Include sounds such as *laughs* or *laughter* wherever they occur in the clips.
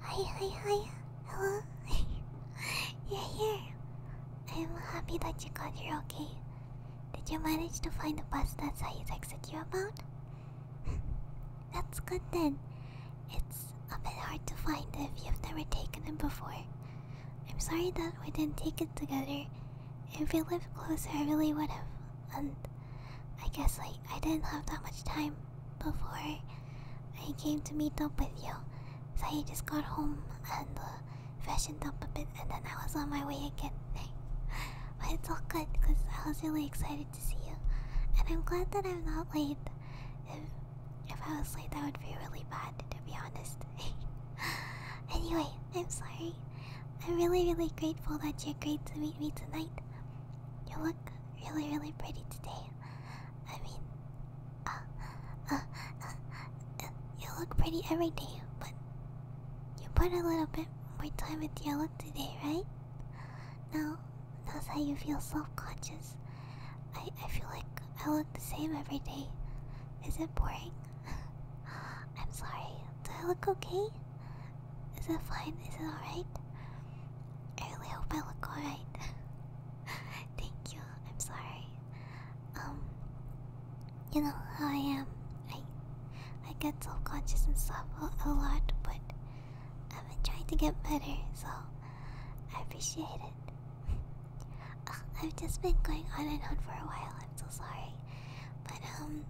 Hi, hi, hi. Hello. *laughs* You're here. I'm happy that you got here okay. Did you manage to find the bus that Saeed texted you about? *laughs* That's good then. It's a bit hard to find if you've never taken them before. I'm sorry that we didn't take it together. If we lived closer, I really would have. And I guess like I didn't have that much time before I came to meet up with you. So I just got home and uh, freshened up a bit, and then I was on my way again. *laughs* but it's all good because I was really excited to see you, and I'm glad that I'm not late. If I was late, that would be really bad, to be honest. *laughs* anyway, I'm sorry. I'm really, really grateful that you agreed to meet me tonight. You look really, really pretty today. I mean, uh, uh, uh, uh, you look pretty every day, but you put a little bit more time into your look today, right? Now, that's how you feel self conscious. I, I feel like I look the same every day. Is it boring? *laughs* I'm sorry. Do I look okay? Is it fine? Is it alright? I really hope I look alright. *laughs* Thank you. I'm sorry. Um, you know how I am. I I get self-conscious and stuff a lot, but I've been trying to get better, so I appreciate it. *laughs* I've just been going on and on for a while. I'm so sorry. But um,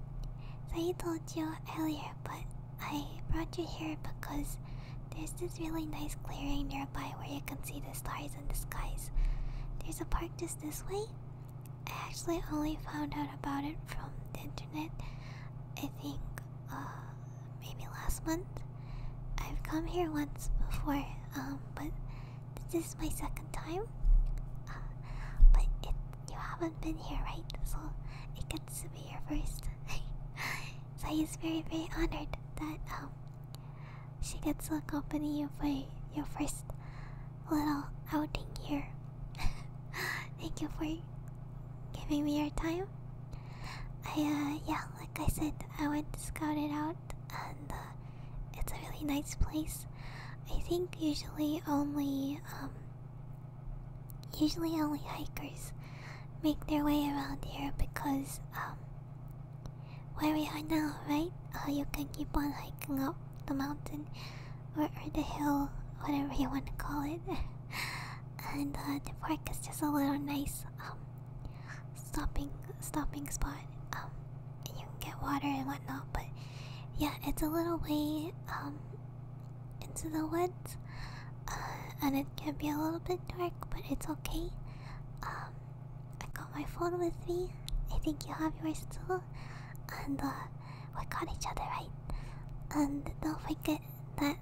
I told you earlier, but I brought you here because there's this really nice clearing nearby where you can see the stars and the skies. There's a park just this way. I actually only found out about it from the internet. I think uh, maybe last month. I've come here once before, um, but this is my second time. Uh, but it, you haven't been here, right? So it gets to be your first. *laughs* so he's very, very honored that um, she gets to accompany you for your first little outing here. *laughs* Thank you for giving me your time. I, uh, yeah, like I said, I went to scout it out, and uh, it's a really nice place. I think usually only, um, usually only hikers make their way around here because, um, where we are now, right? Uh, you can keep on hiking up the mountain or, the hill, whatever you want to call it. *laughs* and uh, the park is just a little nice. Um, stopping stopping spot. Um, you can get water and whatnot, but yeah, it's a little way um into the woods, uh, and it can be a little bit dark, but it's okay. Um, I got my phone with me. I think you have yours too, and uh, we got each other right. And don't forget that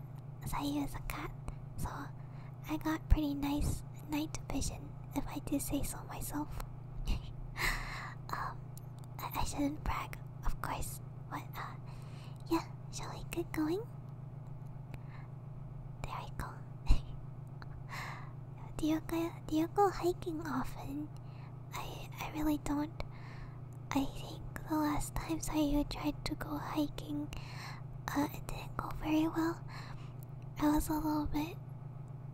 Sayu is a cat, so I got pretty nice night vision, if I do say so myself. *laughs* um, I, shouldn't brag, of course, but uh, yeah, shall we get going? There I go. *laughs* do you go? Do you go hiking often? I I really don't. I think the last times I tried to go hiking, uh, it didn't go very well. I was a little bit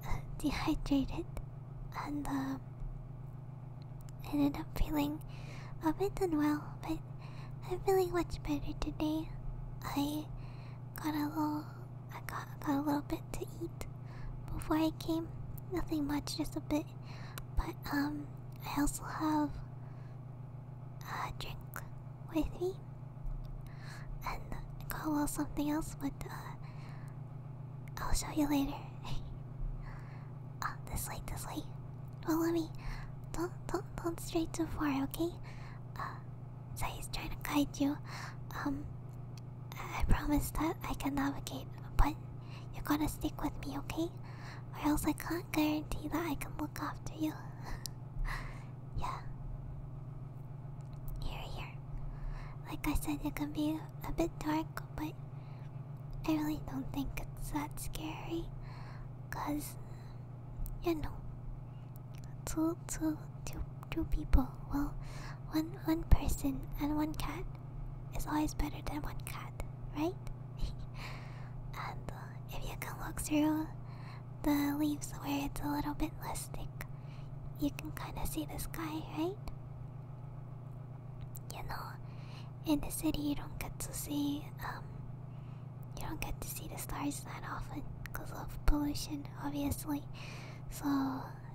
uh, dehydrated, and I um, ended up feeling a bit unwell. But I'm feeling much better today. I got a little, I got got a little bit to eat before I came. Nothing much, just a bit. But um, I also have a drink with me and call out something else, but uh, I'll show you later. uh, *laughs* this way, this way. Follow me. Don't, don't, don't stray too far, okay? Uh, so he's trying to guide you. Um, I promise that I can navigate, but you gotta stick with me, okay? Or else I can't guarantee that I can look after you. *laughs* yeah. Here, here. Like I said, it can be a bit dark, but I really don't think it's that scary. Cause, you know, two, two, two, two people. Well, one, one person and one cat is always better than one cat right? *laughs* and uh, if you can look through the leaves where it's a little bit less thick, you can kind of see the sky, right? You know, in the city you don't get to see, um, you don't get to see the stars that often because of pollution, obviously. So,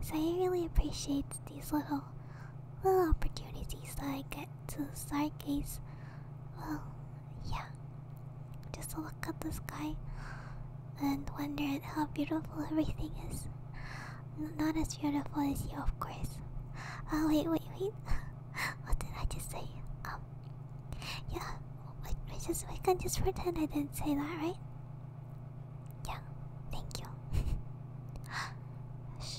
so I really appreciate these little, little opportunities that I get to stargaze. Well, um, yeah, just look at the sky and wonder at how beautiful everything is. not as beautiful as you, of course. Oh, wait, wait, wait. *laughs* what did I just say? Um, yeah, we, we just we can just pretend I didn't say that, right? Yeah, thank you. *laughs* Shh.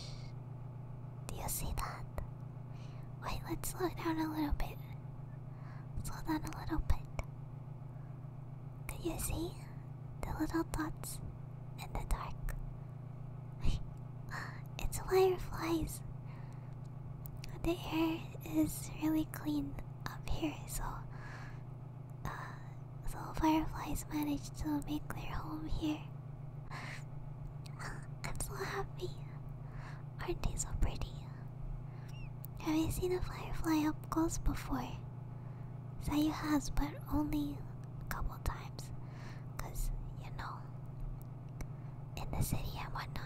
Do you see that? Wait, let's slow down a little bit. Slow down a little bit. Can you see the little dots in the dark? *laughs* it's fireflies. The air is really clean up here, so uh, so fireflies manage to make their home here. *laughs* I'm so happy. Aren't they so pretty? Have you seen a firefly up close before? Say you has, but only a couple times. Because, you know, in the city and whatnot,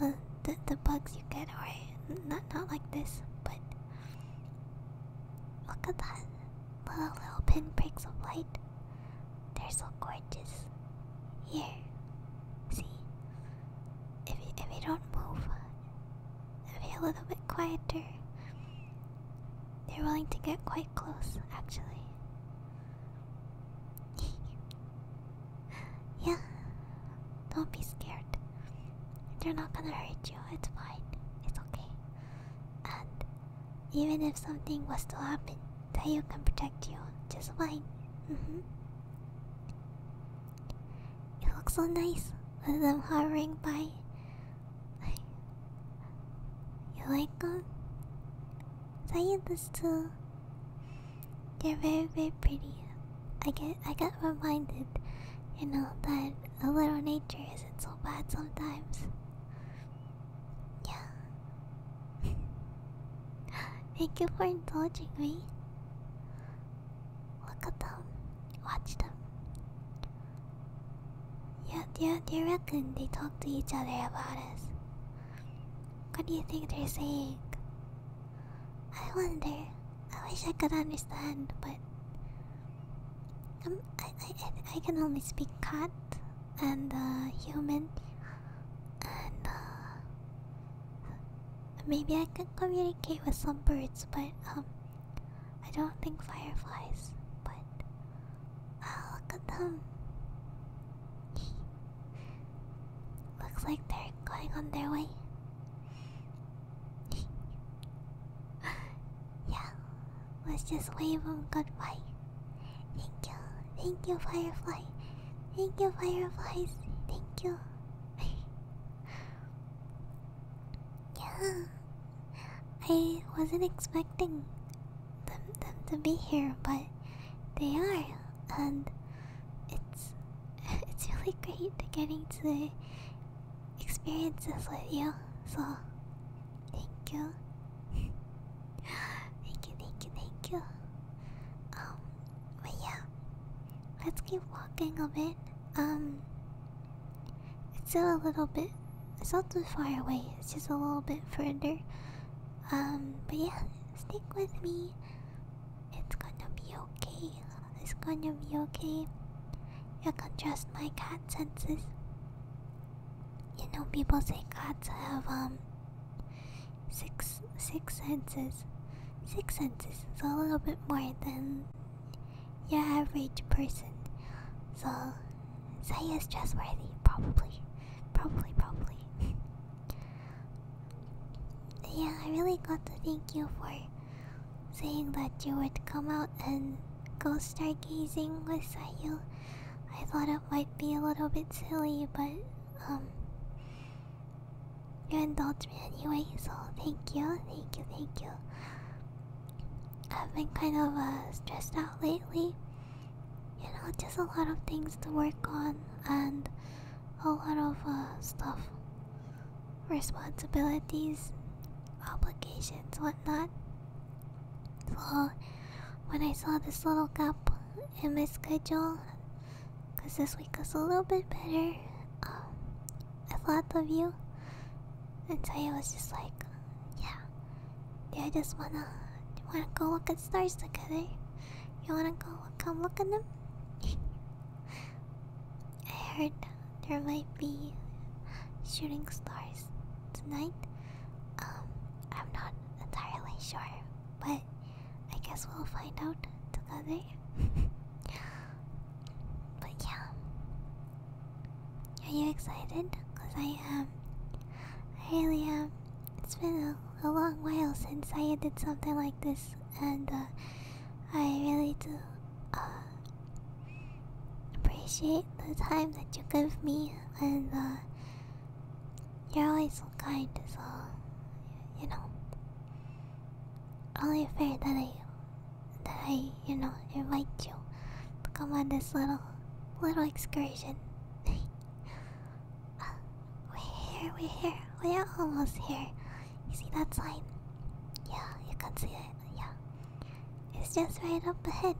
uh, the, the bugs you get are not, not like this, but look at that. Little, little pinpricks of light. They're so gorgeous. Here, see. If you, if you don't move, if you're a little bit quieter, they're willing to get quite close, actually. *laughs* yeah, don't be scared. They're not gonna hurt you, it's fine, it's okay. And even if something was to happen, Tayo can protect you just fine. Mm -hmm. It looks so nice with them hovering by. You like them? Tayo Still, They're very, very pretty. I get, I got reminded, you know, that a little nature isn't so bad sometimes. Yeah. *laughs* Thank you for indulging me. Look at them. Watch them. Yeah, yeah, they you reckon they talk to each other about us? What do you think they're saying? I wonder. I wish I could understand, but um, i I, I, I can only speak cat and uh, human, and uh, maybe I can communicate with some birds, but um, I don't think fireflies. But oh, look at them. Looks like they're going on their way. *laughs* yeah, Let's just wave them goodbye. Thank you, thank you, Firefly. Thank you, Fireflies. Thank you. *laughs* yeah, I wasn't expecting them, them to be here, but they are, and it's *laughs* it's really great getting to experience this with you. So *laughs* Thank you. thank you, thank you, Um, but yeah, let's keep walking a bit. Um, it's still a little bit. It's not too far away. It's just a little bit further. Um, but yeah, stick with me. It's gonna be okay. It's gonna be okay. You can trust my cat senses. You know, people say cats have um six six senses. Six senses is a little bit more than your average person. So Zaya is trustworthy, probably, probably, probably. *laughs* yeah, I really got to thank you for saying that you would come out and go stargazing with Sayu. I thought it might be a little bit silly, but um, you indulged me anyway, so thank you, thank you, thank you. I've been kind of uh, stressed out lately. You know, just a lot of things to work on and a lot of uh, stuff, responsibilities, obligations, whatnot. So when I saw this little gap in my schedule, because this week was a little bit better, um, I thought of you. And so I was just like, yeah, do I just wanna, wanna go look at stars together? You wanna go come look at them? *laughs* I heard there might be shooting stars tonight. Um, I'm not entirely sure, but I guess we'll find out together. *laughs* but yeah. Are you excited? Cause I am. I really am. It's been a, a long while since I did something like this, and uh, I really do. Uh, Appreciate the time that you give me, and uh, you're always so kind, so you know. Only fair that I, that I, you know, invite you to come on this little, little excursion. *laughs* we're here, we're here, we're almost here. You see that sign? Yeah, you can see it. Yeah, it's just right up ahead.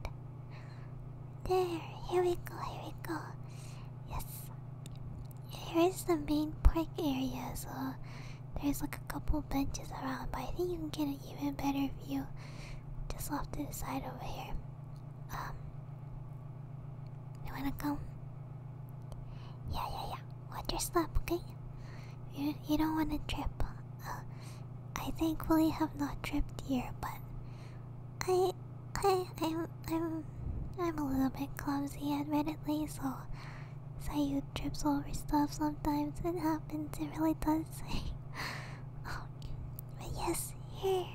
There, here we go, here we go. Yes. Here is the main park area, so there's like a couple benches around, but I think you can get an even better view just off to the side over here. Um, you wanna come? Yeah, yeah, yeah. Watch your step, okay? You, you don't wanna trip. I thankfully have not tripped here, but I, I, am I'm, I'm a little bit clumsy, admittedly. So, Sayu trip over stuff sometimes. It happens. It really does. oh, *laughs* but yes, here,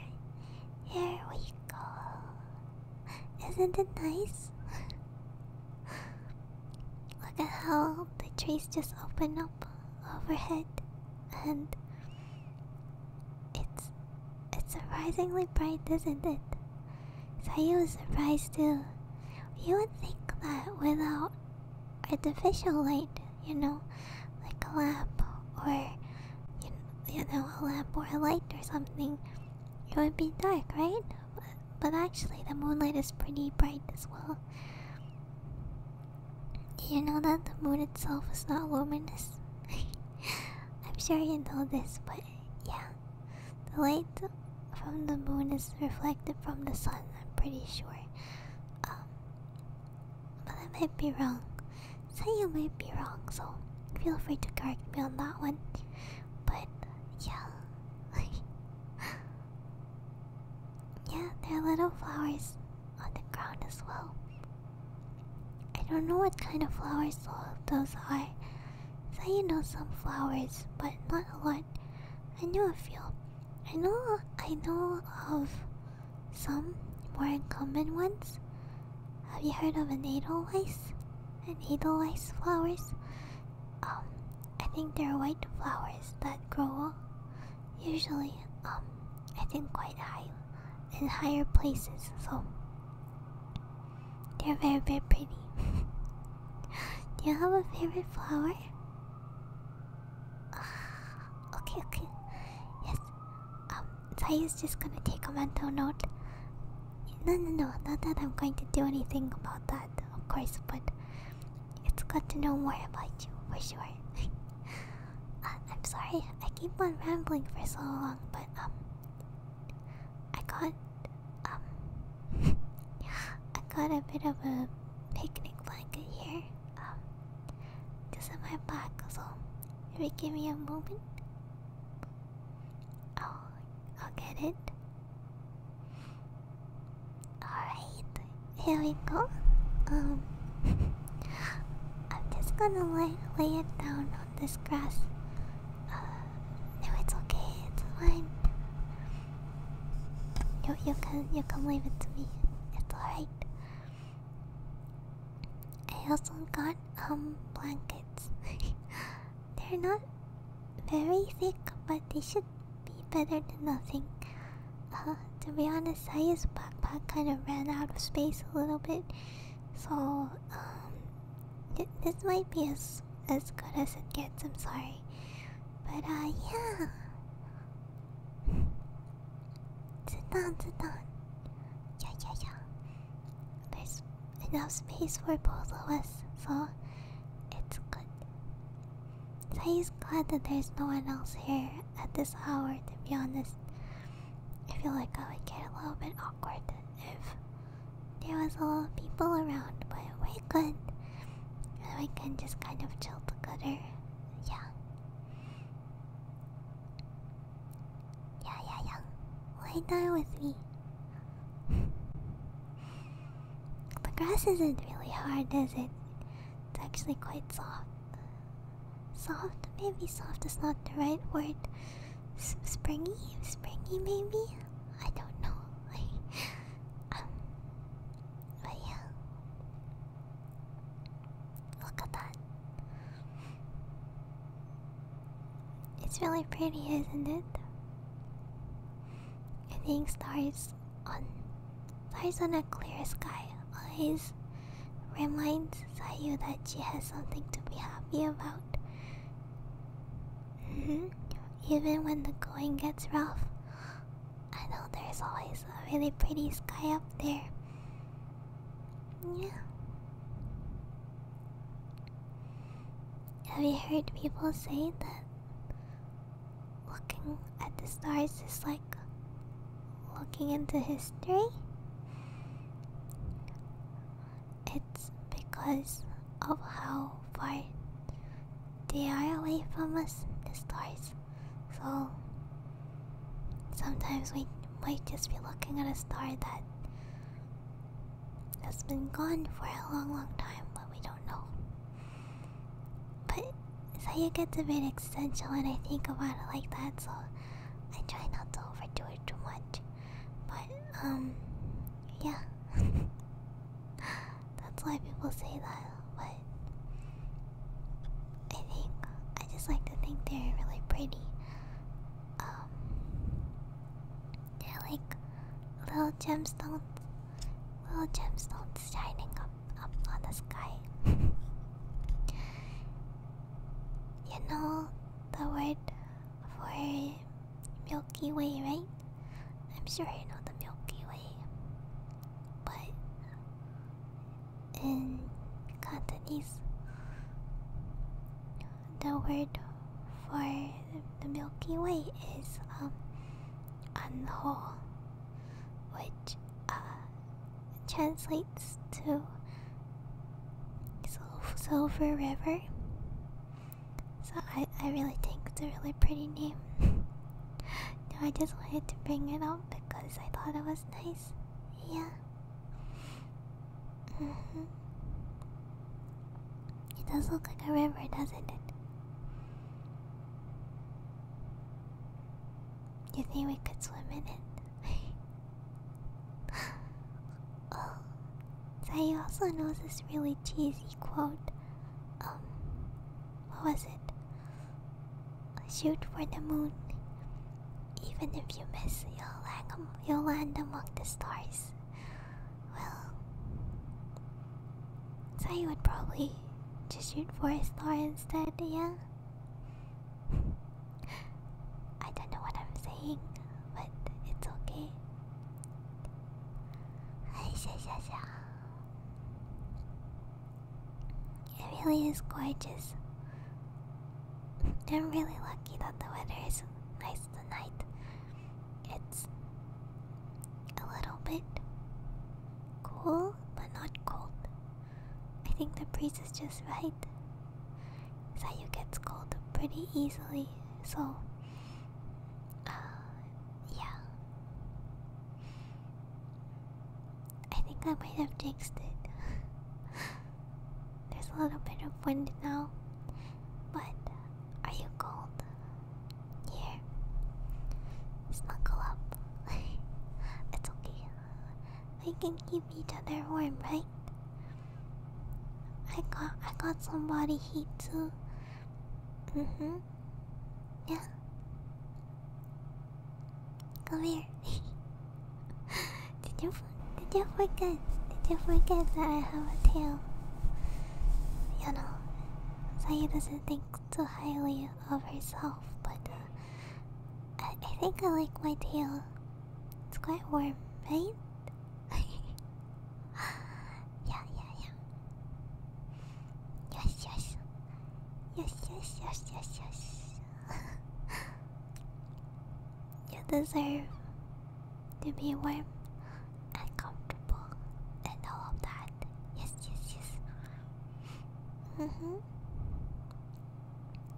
here we go. Isn't it nice? *laughs* Look at how the trees just open up overhead and it's it's surprisingly bright, isn't it? Sayu was surprised too. You would think that without artificial light, you know, like a lamp or you, you know, a lamp or a light or something, it would be dark, right? But, but actually, the moonlight is pretty bright as well. Do you know that the moon itself is not luminous? *laughs* I'm sure you know this, but yeah. The light from the moon is reflected from the sun, I'm pretty sure. Um, but I might be wrong. so you might be wrong, so feel free to correct me on that one. But yeah. *laughs* Yeah, there are little flowers on the ground as well. I don't know what kind of flowers those are. So you know some flowers, but not a lot. I know a few. I know I know of some more common ones. Have you heard of an edelweiss? flowers? Um, I think they're white flowers that grow usually um I think quite high in higher places so they're very very pretty. *laughs* Do you have a favorite flower? Uh, *sighs* okay, okay. Yes. Um, Zai is just gonna take a mental note. No, no, no. Not that I'm going to do anything about that, of course. But it's good to know more about you for sure. *laughs* Uh, I'm sorry I keep on rambling for so long, but um, I got um, *laughs* I got a bit of a picnic blanket here. Um, this is my bag, so if you give me a moment, Oh, I'll get it. Alright, here we go. Um, *laughs* I'm just gonna lay, lay it down on this grass. Uh, no, it's okay, it's fine. You, you can you can leave it to me. It's alright. I also got um blankets. *laughs* They're not very thick, but they should be better than nothing. Uh, to be honest, I, Saya's backpack kind of ran out of space a little bit, so um, this might be as as good as it gets. I'm sorry, but uh, yeah. *laughs* Sit down, sit down. Yeah, yeah, yeah. There's enough space for both of us, so it's good. So just glad that there's no one else here at this hour, to be honest. I feel like I would get a little bit awkward if there was a lot of people around, but we could. We can just kind of chill together. Yeah. Yeah, yeah, yeah. Lie down with me. *laughs* The grass isn't really hard, is it? It's actually quite soft. Soft? Maybe soft is not the right word. S springy? Springy, maybe? I don't know. *laughs* um, but yeah. Look at that. It's really pretty, isn't it? I think stars on stars on a clear sky always reminds Sayu that she has something to be happy about. Mm-hmm. Even when the going gets rough, I know there's always a really pretty sky up there. Yeah. Have you heard people say that Looking at the stars is like looking into history. It's because of how far they are away from us, the stars. So sometimes we might just be looking at a star that has been gone for a long, long time, but we don't know. But so you gets a bit existential and I think about it like that, so I try not to overdo it too much. But um yeah. *laughs* That's why people say that, but I think I just like to think they're really pretty. Um, they're like little gemstones Little gemstones shining up up on the sky. *laughs* you know the word for Milky Way, right? I'm sure you know the Milky Way. But in Cantonese, the word for the Milky Way is um and whole, which uh, translates to Silver River. So I, I really think it's a really pretty name. *laughs* no, I just wanted to bring it up because I thought it was nice. Yeah. Mm-hmm. It does look like a river, doesn't it? You think we could swim in it? *laughs* oh, Zai also knows this really cheesy quote. Um, what was it? Shoot for the moon. Even if you miss, you'll land among the stars. Well, so I would probably just shoot for a star instead, yeah? I don't know what I'm saying, but it's okay. It really is gorgeous. I'm really lucky that the weather is nice tonight. It's a little bit cool, but not cold. I think the breeze is just right. Sayu gets cold pretty easily, so uh, yeah. I think I might have jinxed it. *laughs* There's a little bit of wind now, but are you cold? Here. Snuggle up. *laughs* it's okay. We can keep each other warm, right? I got I got some body heat too. Mm-hmm. Yeah. Come here. *laughs* did you did you forget? Did you forget that I have a tail? you know, Saya doesn't think too highly of herself, but uh, I, I think I like my tail. It's quite warm, right? *laughs* yeah, yeah, yeah. Yes, yes. Yes, yes, yes, yes, yes. *laughs* you deserve to be warm and comfortable and all of that. Yes, yes, yes. Mm hmm.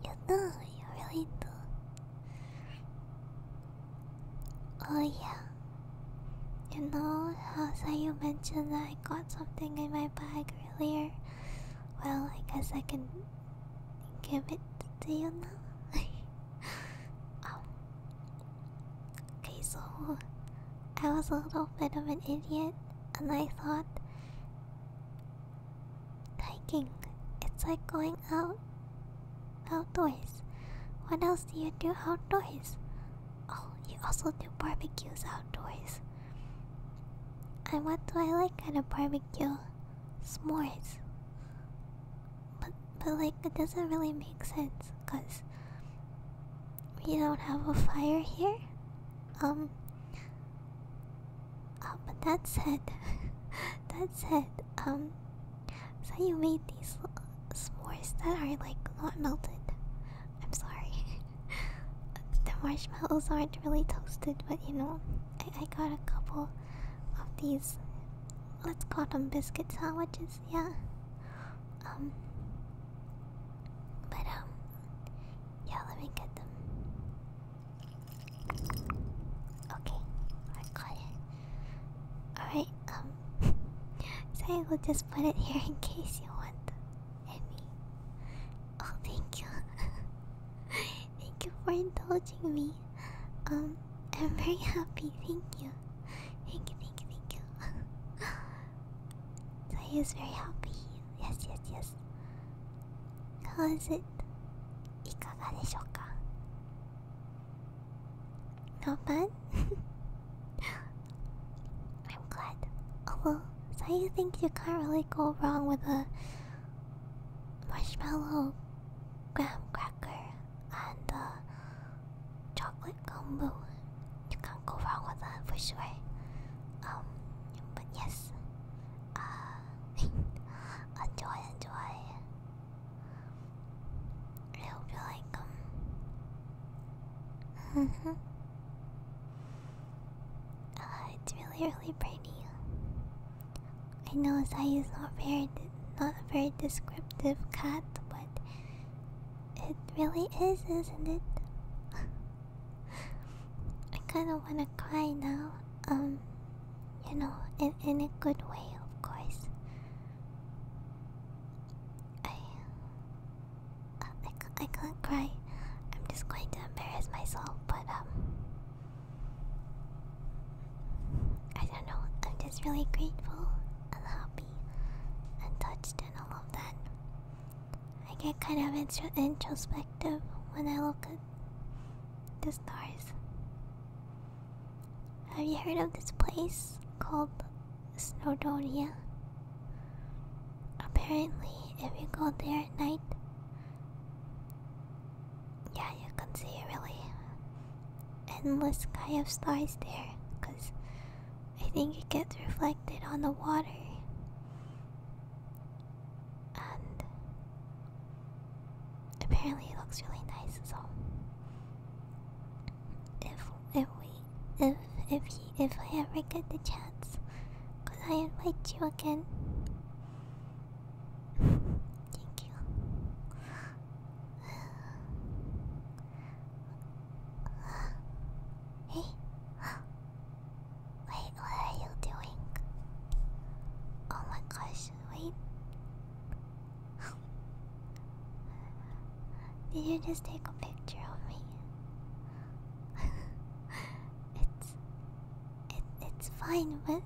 You know, you really do. Oh, yeah. You know how Sayu mentioned that I got something in my bag earlier? Well, I guess I can give it to you now. *laughs* Um, Okay, so I was a little bit of an idiot, and I thought hiking, it's like going out outdoors. What else do you do outdoors? Oh, you also do barbecues outdoors. And what do I like at a barbecue? S'mores. But, but like, it doesn't really make sense, cause we don't have a fire here. Um. Uh, but that said, *laughs* that said, um, so you made these s'mores that are like not melted. I'm sorry. *laughs* the marshmallows aren't really toasted, but you know, I, I got a couple of these. Let's call them biscuit sandwiches yeah. Um but um yeah, let me get them. Okay, I got it. Alright, um *laughs* so I will just put it here in case you want Emmy. Oh thank you. *laughs* thank you for indulging me. Um I'm very happy, thank you. Thank you, thank you, thank you. *laughs* so he is very happy. Yes, yes, yes. How is it? いかがでしょうか Not bad? *laughs* I'm glad. Oh well, so you think you can't really go wrong with a marshmallow graham cracker and the uh, chocolate gumbo. You can't go wrong with that for sure. Um, but yes, uh, *laughs* enjoy, enjoy. I hope like them. *laughs* uh, it's really, really pretty. I know Zai not very not a very descriptive cat, but it really is, isn't it? *laughs* I kind of want to cry now. Um, you know, in in a good way, of course. I uh, I, I can't cry. I'm just going to embarrass myself, but um, I don't know, I'm just really grateful and happy and touched and all of that. I get kind of introspective when I look at the stars. Have you heard of this place called Snowdonia? Apparently, if you go there at night, yeah, you can see really endless sky of stars there, cause I think it gets reflected on the water. And apparently it looks really nice, so if if we if if if I ever get the chance, could I invite you again? Thank you. Hey, wait, what are you doing? Oh my gosh, wait. Did you just take a picture of me? *laughs* it's, it, it's fine, but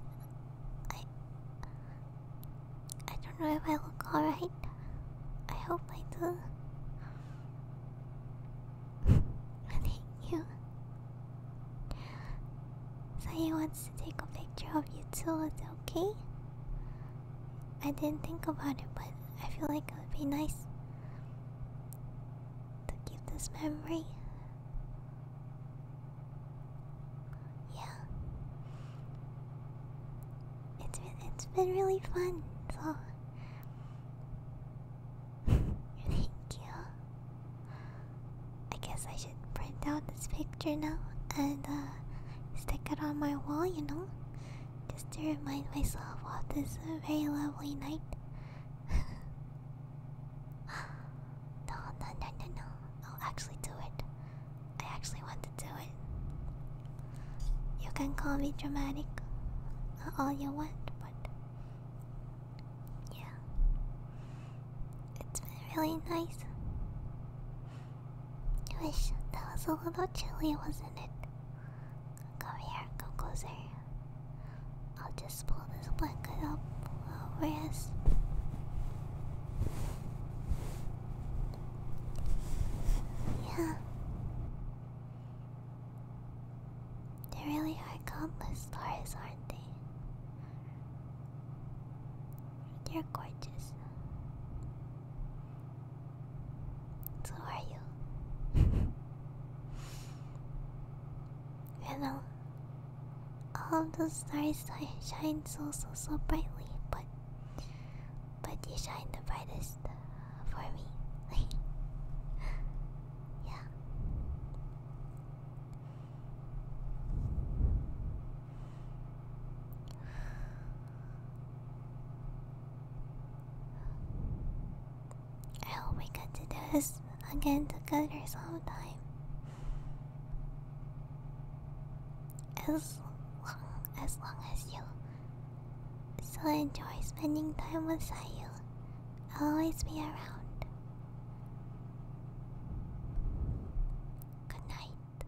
I, I don't know if I look alright. I hope I do. *laughs* Thank you. Sae wants to take a picture of you too, is it okay? I didn't think about it, but I feel like it would be nice to keep this memory. Yeah. It's been, it's been really fun. So *laughs* thank you. I guess I should print out this picture now and uh, stick it on my wall, you know, just to remind myself of this very lovely night. *laughs* no, no, no, no, no. I'll actually do it. I actually want to do it. You can call me dramatic all you want, but yeah. It's been really nice. I that was a little chilly, wasn't it? Come here, come closer. I'll just blow pull this blanket up over us. Yeah. There really are countless stars, aren't they? They're gorgeous. So are you. you *laughs* know, all of the stars shine so so so brightly, but but you shine the brightest for me. *laughs* yeah. I hope we get to do this again together sometime. As long as long as you still enjoy spending time with Sayu, I'll always be around. Good night.